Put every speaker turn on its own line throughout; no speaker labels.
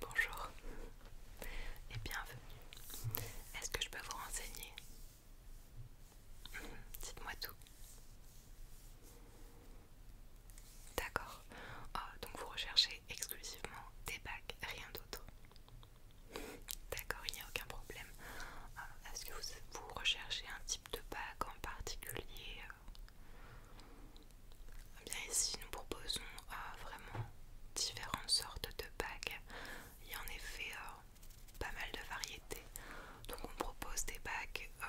Bonjour, et bienvenue. Est-ce que je peux vous renseigner mhm, Dites-moi tout. D'accord. Ah, donc vous recherchez exclusivement des bacs, rien d'autre. D'accord, il n'y a aucun problème. Ah, est-ce que vous, recherchez un type de bac en particulier euh, Bien ici, nous proposons vraiment différentes sortes de bagues. Il y a en effet euh, pas mal de variétés. Donc on propose des bagues euh,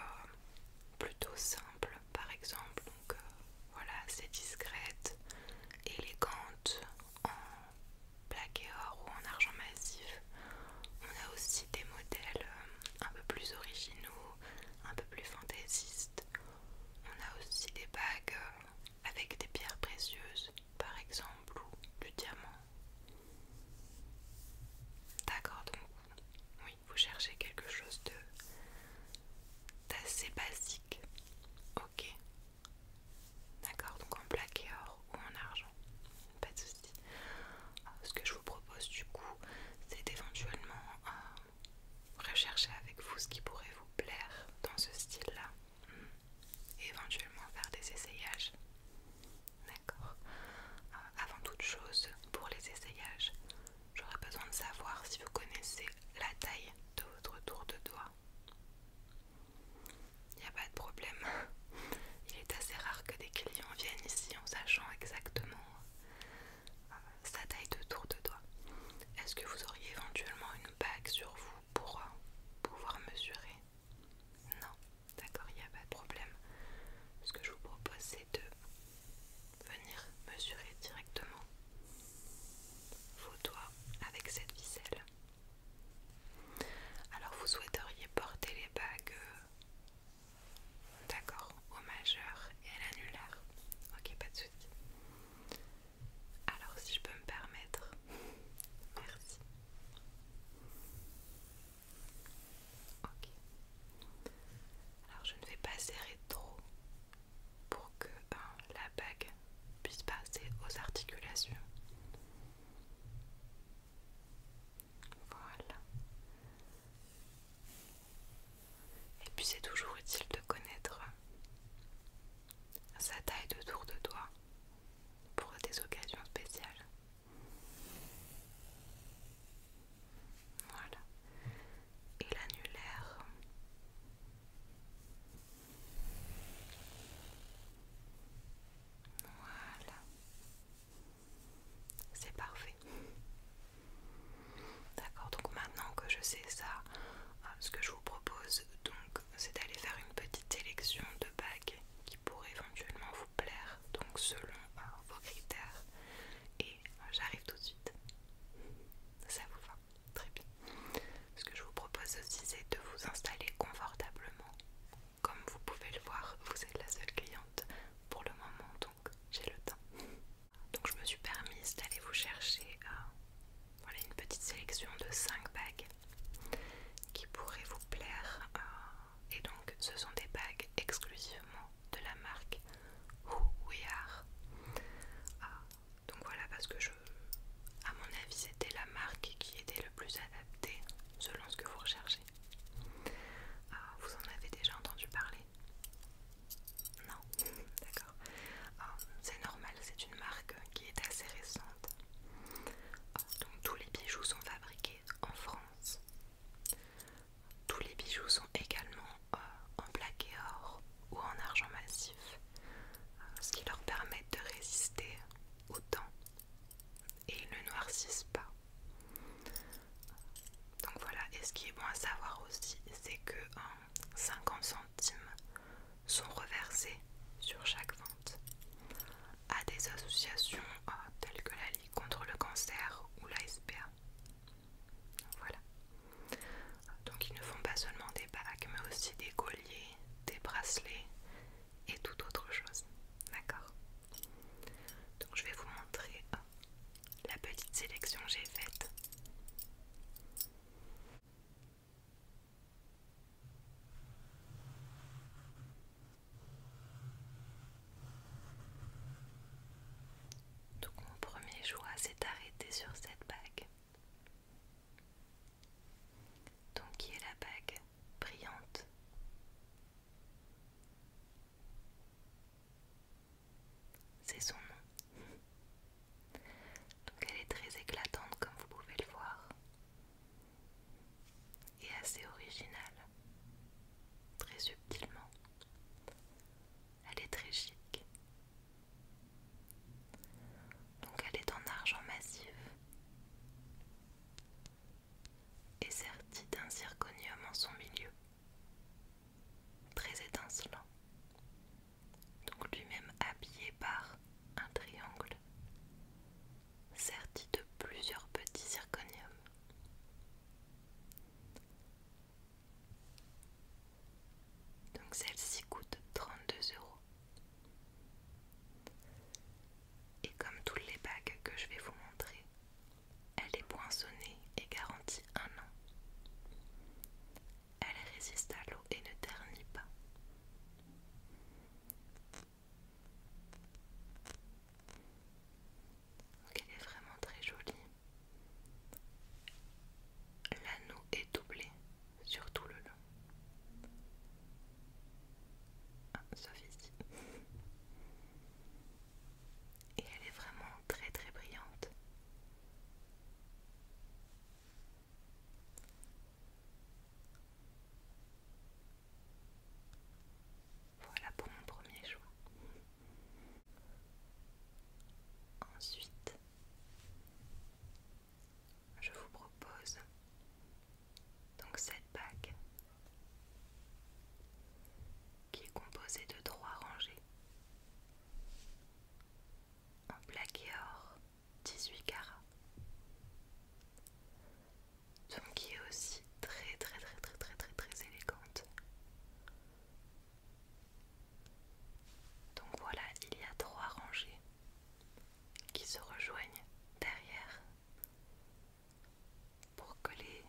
plutôt simples par exemple. Donc euh, voilà, c'est discrète, élégante, en plaqué or ou en argent massif. On a aussi des modèles un peu plus originaux, un peu plus fantaisistes. On a aussi des bagues avec des pierres précieuses, par exemple, ou du diamant. D'accord, donc oui, vous cherchez quelque chose de d'assez basique. Ok. D'accord, donc en plaqué or ou en argent. Pas de souci. Ce que je vous propose du coup, c'est éventuellement rechercher avec vous ce qui pourrait vous plaire dans ce style-là. Hmm. éventuellement faire des essayages. D'accord euh, Avant toute chose, pour les essayages, j'aurais besoin de savoir si vous connaissez la taille de votre tour de doigt. Il n'y a pas de problème. Il est assez rare que des clients viennent ici en sachant exactement euh, sa taille de tour de doigt. Est-ce que vous auriez éventuellement une bague sur vous pour euh, pouvoir mesurer Non, d'accord, il n'y a pas de problème. Ce que je vous propose, c'est de venir mesurer directement vos doigts avec cette ficelle. Alors, vous souhaiteriez porter les bagues, euh, d'accord, au majeur et à l'annulaire. Ok, pas de souci. Alors si je peux me permettre, merci. Ok. Alors je ne vais pas serrer trop pour que ben, la bague puisse passer aux articulations. Voilà. Et puis c'est toujours utile de connaître sa taille de tour de doigt pour des occasions spéciales. Voilà. Et l'annulaire. Voilà. C'est parfait. D'accord, donc maintenant que je sais ça, euh, ce que je vous propose donc c'est d'aller faire une petite sélection de bagues qui pourraient éventuellement vous plaire, donc selon euh, vos critères. Et euh, j'arrive tout de suite. Ça vous va Très bien. Ce que je vous propose aussi c'est de vous installer confortablement. Comme vous pouvez le voir, vous êtes la seule cliente pour le moment, donc j'ai le temps. Donc je me suis permise d'aller vous chercher euh, une petite sélection de 5 bagues qui pourraient vous plaire. Euh, et donc ce sont des bagues exclusivement de la marque Who We Are. Euh, donc voilà parce que je, à mon avis c'était la marque qui était le plus adaptée selon ce que vous recherchez. vous en avez déjà entendu parler non, d'accord. Ah, c'est normal, c'est une marque qui est assez récente. Ah, donc tous les bijoux sont fabriqués en France. Tous les bijoux sont également euh, en plaqué or ou en argent massif, euh, ce qui leur permet de résister au temps et ils ne noircissent pas. Donc voilà, et ce qui est bon à savoir aussi, c'est que 50 euh, 50 sont reversés sur chaque vente à des associations euh, telles que la Ligue contre le cancer ou la SPA. Voilà. Donc ils ne font pas seulement des bagues mais aussi des colliers, des bracelets et toute autre chose. D'accord Donc je vais vous montrer euh, la petite sélection que j'ai faite. Donc mon premier choix s'est arrêté sur cette bague. Donc qui est la bague brillante c'est son nom. Donc elle est très éclatante comme vous pouvez le voir. Et assez originale. Très subtilement. Elle est très chic. Donc elle est en argent massif. Et sertie d'un zirconium en son milieu très étincelant, donc lui-même habillé par un triangle serti de plusieurs petits zirconiums. Donc celle-ci coûte 32 euros. Et comme toutes les bagues que je vais vous montrer, elle est poinçonnée et garantie un an. Elle résiste à l'eau et ne ternit pas. elle est vraiment très jolie. L'anneau est doublé sur tout le long. Ah, sauf ici. Et elle est vraiment très très brillante. Voilà pour mon premier choix. Ensuite, je vous propose donc cette bague qui est composée de trois rangées en plaqué or 18 carats. Donc qui est aussi très très très très très très très élégante. Donc voilà, il y a trois rangées qui se rejoignent derrière pour que les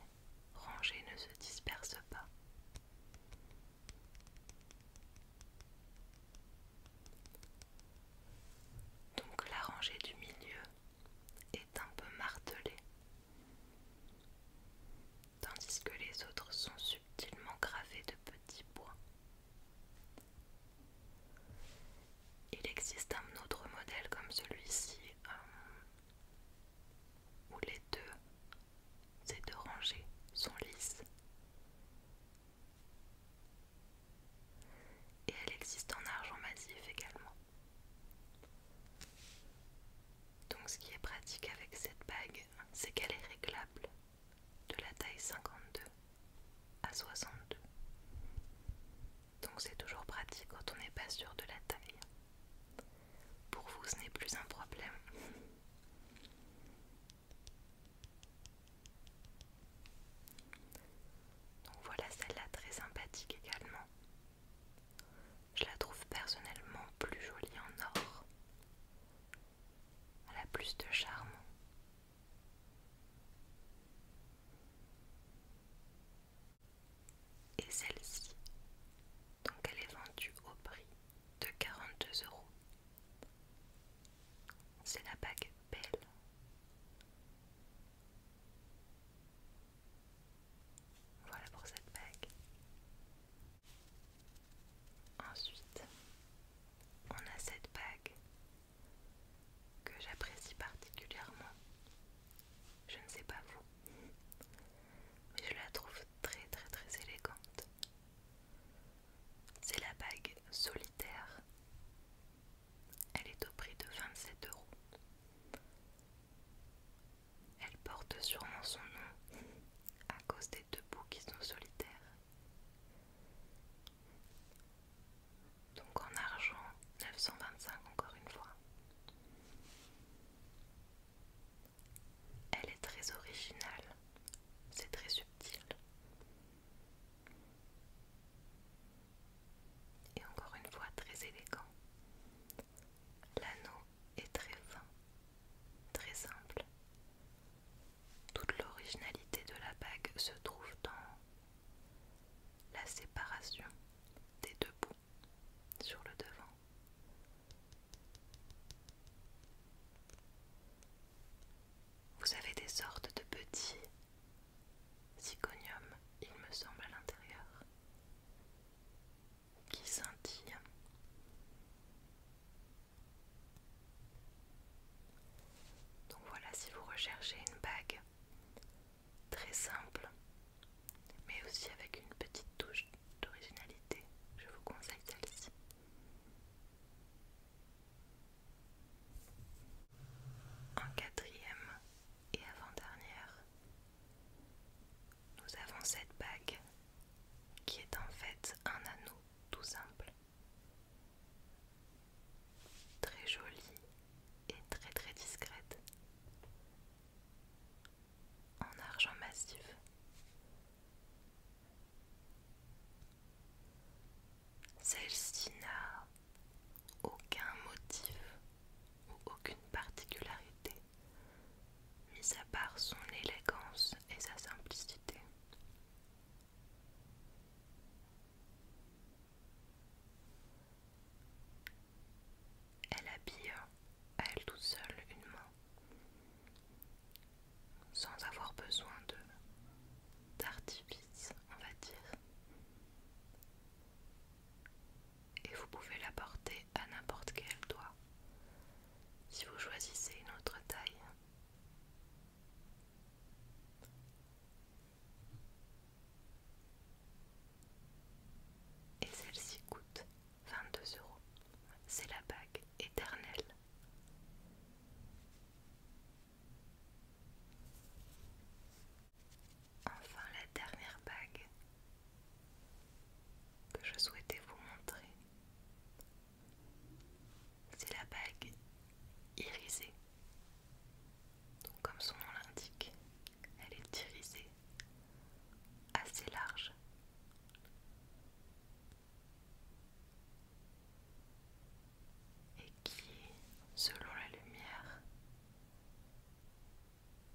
rangées ne se dispersent pas. Donc la rangée du milieu est un peu martelée, tandis que les autres sont subtilement gravés de petits bois Il existe un autre modèle comme celui-ci. Euh, où les deux, ces deux rangées, sont lisses. Et elle existe en argent massif également. Donc ce qui est pratique avec cette bague, c'est qu'elle est réglable de la taille 52 à 62. Donc c'est toujours pratique quand on n'est pas sûr de la taille. Pour vous, ce n'est plus un problème. Donc voilà celle-là très sympathique également. Je la trouve personnellement plus jolie en or. Elle a plus de charme. Et celle-ci, donc elle est vendue au prix de 42 euros. C'est la bague belle. Voilà pour cette bague. Ensuite, on a cette bague que j'apprécie particulièrement. Je ne sais pas vous, mais je la trouve très très très élégante. C'est la bague solitaire. Elle est au prix de 27 euros. Elle porte sûrement son nom à cause des deux bouts qui sont solitaires. Donc en argent, 925 encore une fois. Elle est très originale, c'est très subtil. Et encore une fois très élégant. L'anneau est très fin, très simple. Toute l'originalité de la bague se trouve dans la séparation des deux bouts sur le devant vous avez des sortes de petits zygoniums, il me semble, à l'intérieur, qui scintillent. Donc voilà, si vous recherchez une bague très simple, mais aussi avec une petite touche d'originalité je vous conseille celle-ci. En quatrième et avant-dernière, nous avons cette bague qui est en fait un anneau tout simple. Très jolie et très très discrète en argent massif. Celle-ci n'a aucun motif ou aucune particularité, mis à part son élégance et sa simplicité. Elle habille à elle toute seule une main sans avoir besoin de d'artifice, on va dire. Et vous pouvez la porter à n'importe quel doigt. Si vous choisissez une autre taille, et celle-ci coûte 22 euros. C'est la bague éternelle. Enfin, la dernière bague que je souhaitais vous montrer, c'est la bague irisée. Donc, comme son nom l'indique, elle est irisée, assez large et qui, selon la lumière,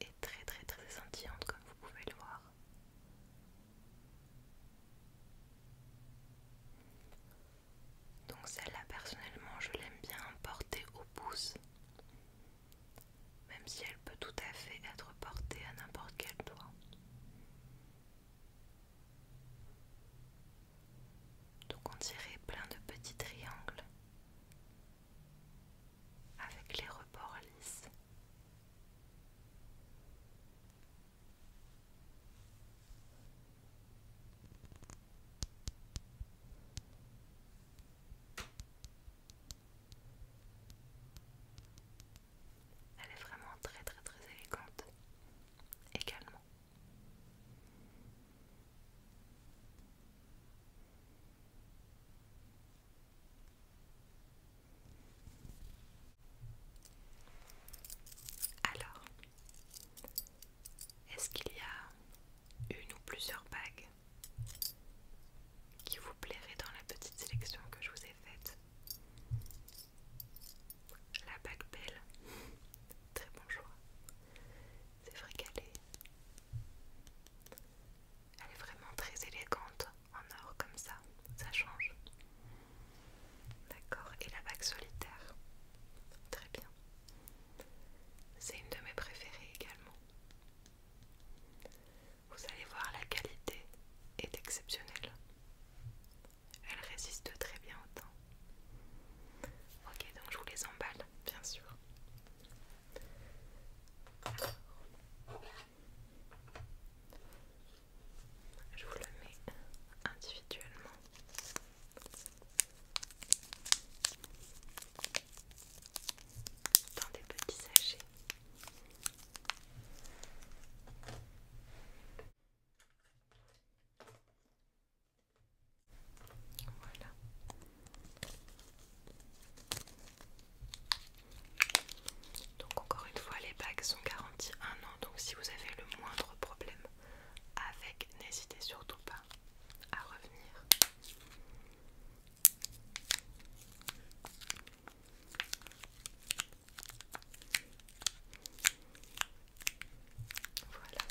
est très très très scintillante comme vous pouvez le voir. Donc celle-là personnellement je l'aime bien porter au pouce même si elle peut tout à fait être portée à n'importe quel doigt. Donc on dirait plein de petits triangles avec les rebords lisses. Elle est vraiment très très très élégante également. Alors, est-ce qu'il y a une ou plusieurs bagues qui vous plairait dans la petite sélection que je vous ai faite. La bague belle, très bon choix. C'est vrai qu'elle est... Elle est vraiment très élégante en or comme ça, ça change. D'accord, et la bague solitaire, très bien. C'est une de mes préférées également. Vous allez voir, la qualité est exceptionnelle. Elle résiste très bien au temps. Ok, donc je vous les emballe, bien sûr. je vous le mets individuellement. Dans des petits sachets voilà. Donc encore une fois, les bagues sont garanties un an. Donc si vous avez le moindre problème avec, n'hésitez surtout pas à revenir. Voilà,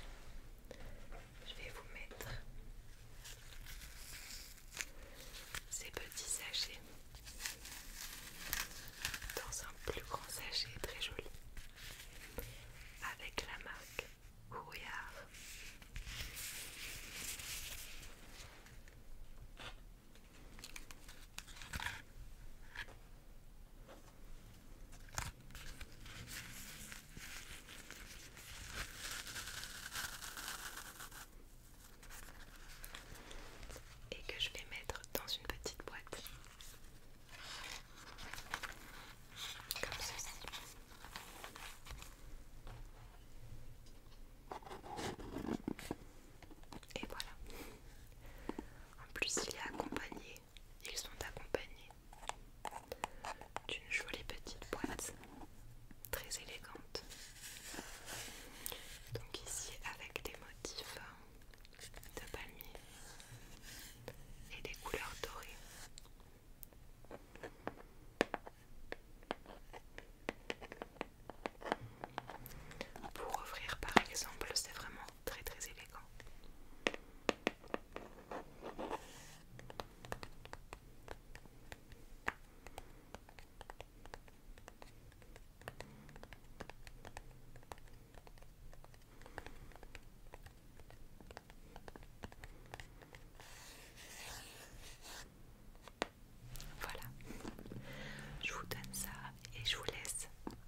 je vais vous mettre ces petits sachets dans un plus grand sachet très joli avec la marque Couillard et que je vais mettre dans une petite boîte comme ceci. Et voilà. En plus, il est accompagné, ils sont accompagnés d'une jolie petite boîte très élégante. Donc ici avec des motifs de palmier et des couleurs dorées. Pour ouvrir par exemple, c'est vraiment très très élégant. Voilà. Je vous donne ça et je vous laisse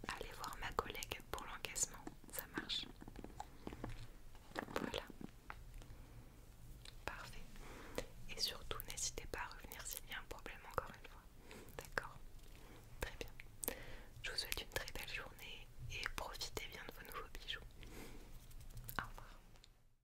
aller voir ma collègue pour l'encaissement. Ça marche Voilà. Parfait. Et surtout, n'hésitez pas à revenir s'il y a un problème encore une fois. D'accord Très bien. Je vous souhaite une très belle journée et profitez bien de vos nouveaux bijoux. Au revoir.